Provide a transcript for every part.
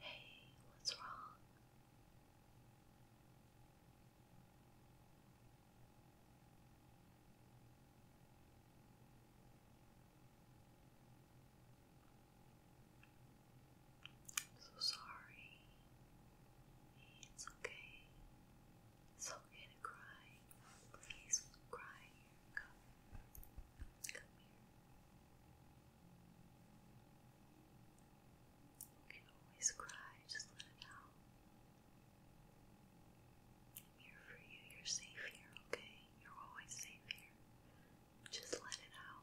Hey, what's wrong? I'm so sorry. It's okay. It's okay to cry. Please cry. Come, come here. You can always cry, just let it out. I'm here for you, you're safe here, okay? You're always safe here. Just let it out.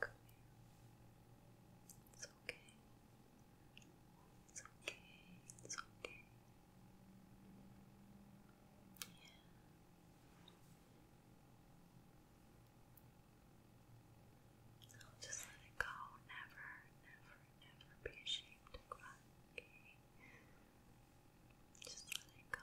Come here. It's okay. It's okay. It's okay. Yeah. So just let it go. Never, never, never be ashamed to cry. Just let it go.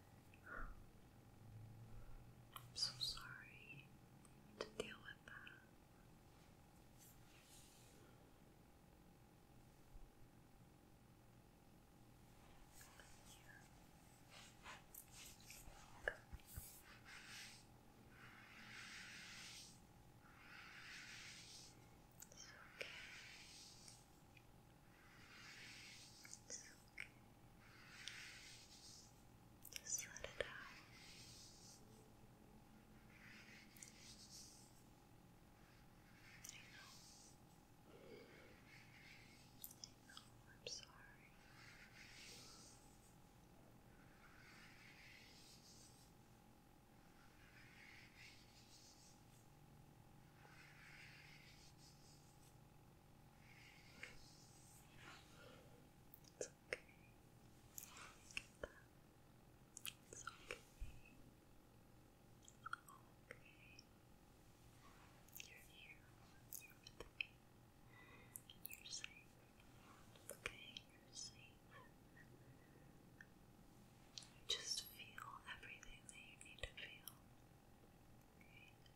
I'm so sorry to deal with that. It's okay. It's okay. Just let it out. I know. I know, I'm sorry. It's okay. It's okay. It's okay. You're here. You're with You're safe. Okay, you're safe. Just feel everything that you need to feel. Okay.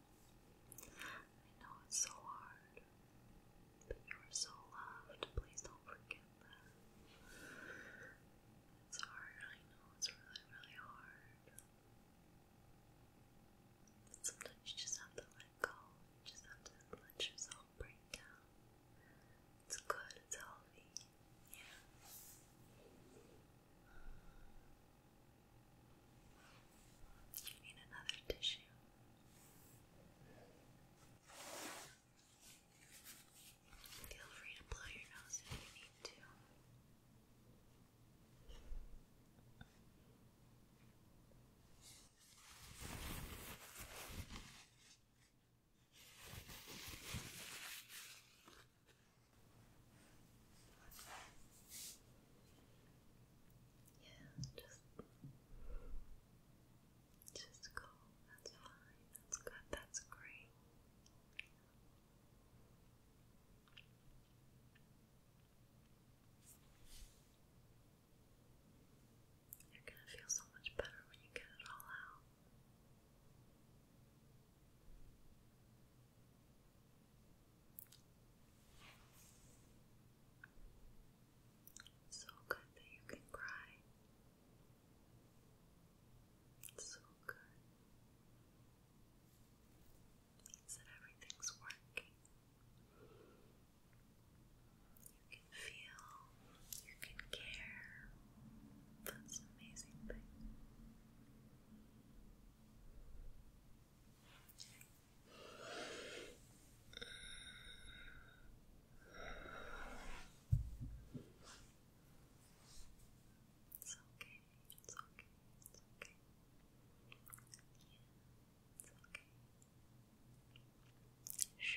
I know it's so hard, but you are so loved. Please don't forget that. It's hard, I know it's really, really hard. But sometimes you just have to let go. You just have to let yourself break down. It's good, it's healthy. Yeah. You need another tissue. Feel free to blow your nose if you need to. Yeah, just just go. That's fine. That's good. That's great. You're gonna feel so much better when you get it all out. It's so good that you can cry. so good. that everything's working. You can feel, you can care. That's amazing thing. It's okay, it's okay, it's okay. Yeah, it's okay. Shh. Shh. Shh.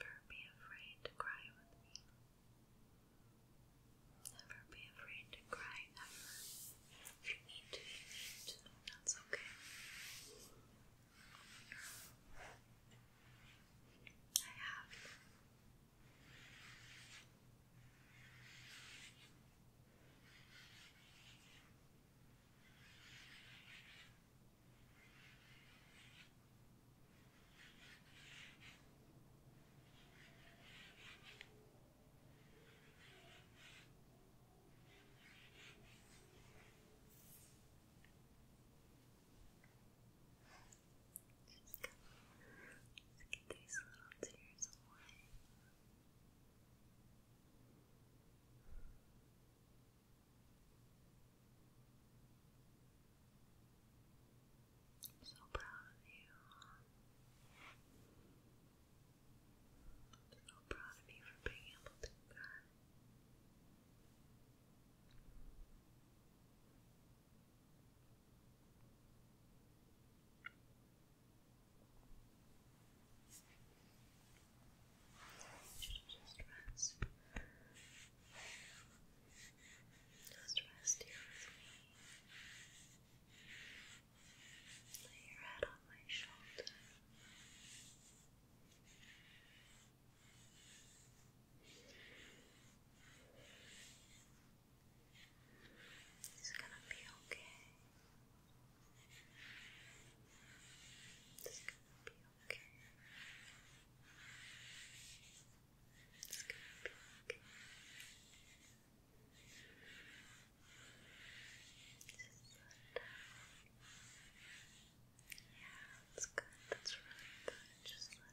Never be afraid to cry with me. Never be afraid to cry ever. If you need to, you need That's okay. I have. Let's get these little tears away. Good. I'm so proud of you. so proud of you for being able to do that should just rest. Just rest here Lay your head on my shoulder. It's gonna be okay. It's gonna be okay. It's Yeah, that's good. That's really good. Just let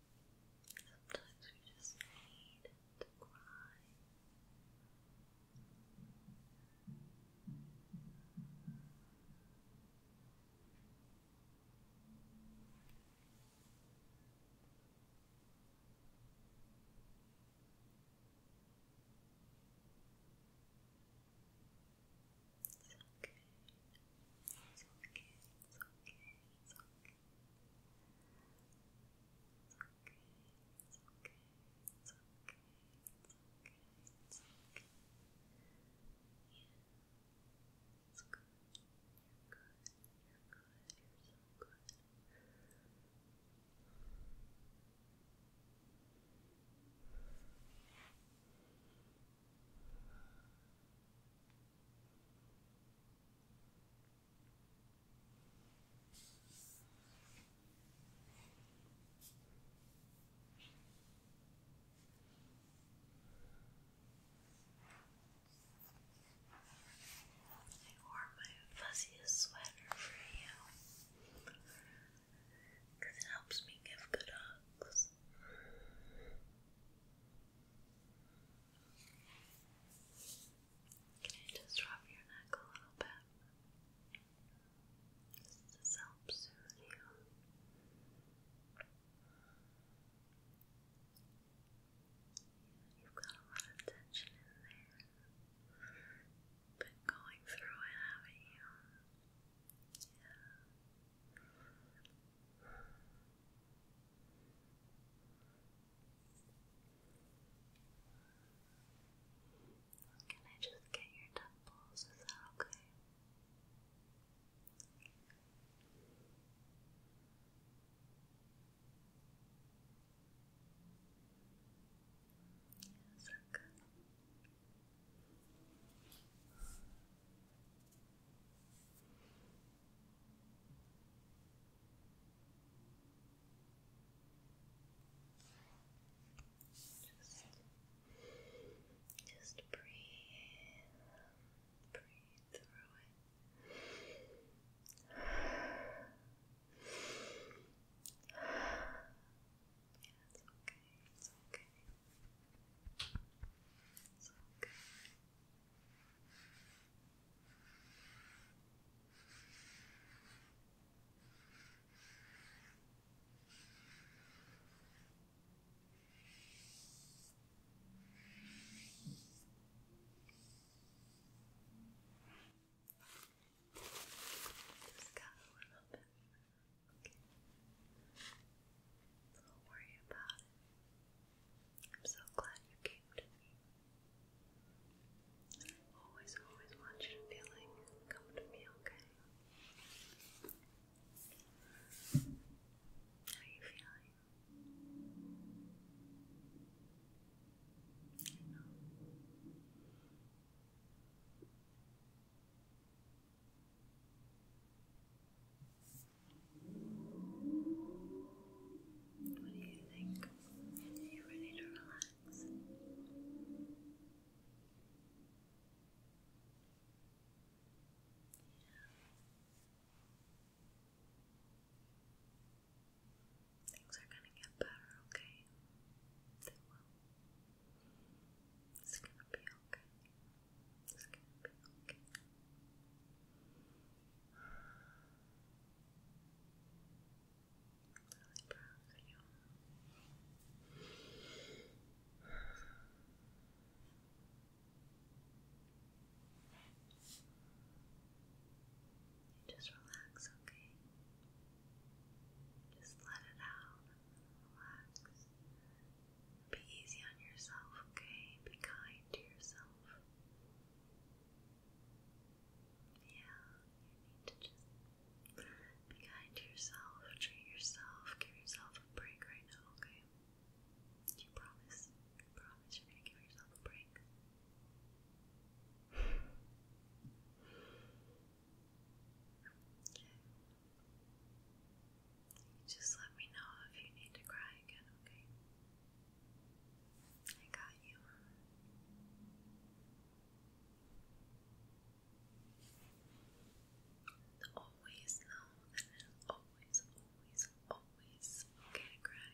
Sometimes we just need to cry. It's okay. It's okay. It's okay. It's okay it's okay, it's okay, it's okay, yeah, it's good, you're good, you're good, you're so good Good. I wore my fuzziest sweater for you it helps me give good hugs. Can I just rub your neck a little bit? Just to soothe you. You've got a lot of tension in there. Been going through it, haven't you? Yeah. Can I just get your temples? Is that okay? Is Okay. Just, just breathe, breathe through it. it's okay. It's okay. It's okay. Just got a little bit. Don't worry about it. I'm so glad you came to me. Always, always want you to to me, okay? How are you feeling? I know. What do you think? Are you ready to relax? Things are gonna get better, okay? They will. It's gonna be okay. It's gonna be okay really proud of you. You just relax, okay? Just let it out. Relax. Be easy on yourself, okay? Be kind to yourself. Yeah, you need to just be kind to yourself, treat yourself, give yourself a break right now, okay? You promise? You promise you're gonna give yourself a break? Okay. Just let me know if you need to cry again, okay? I got you. Always know that it is always, always, always okay cry.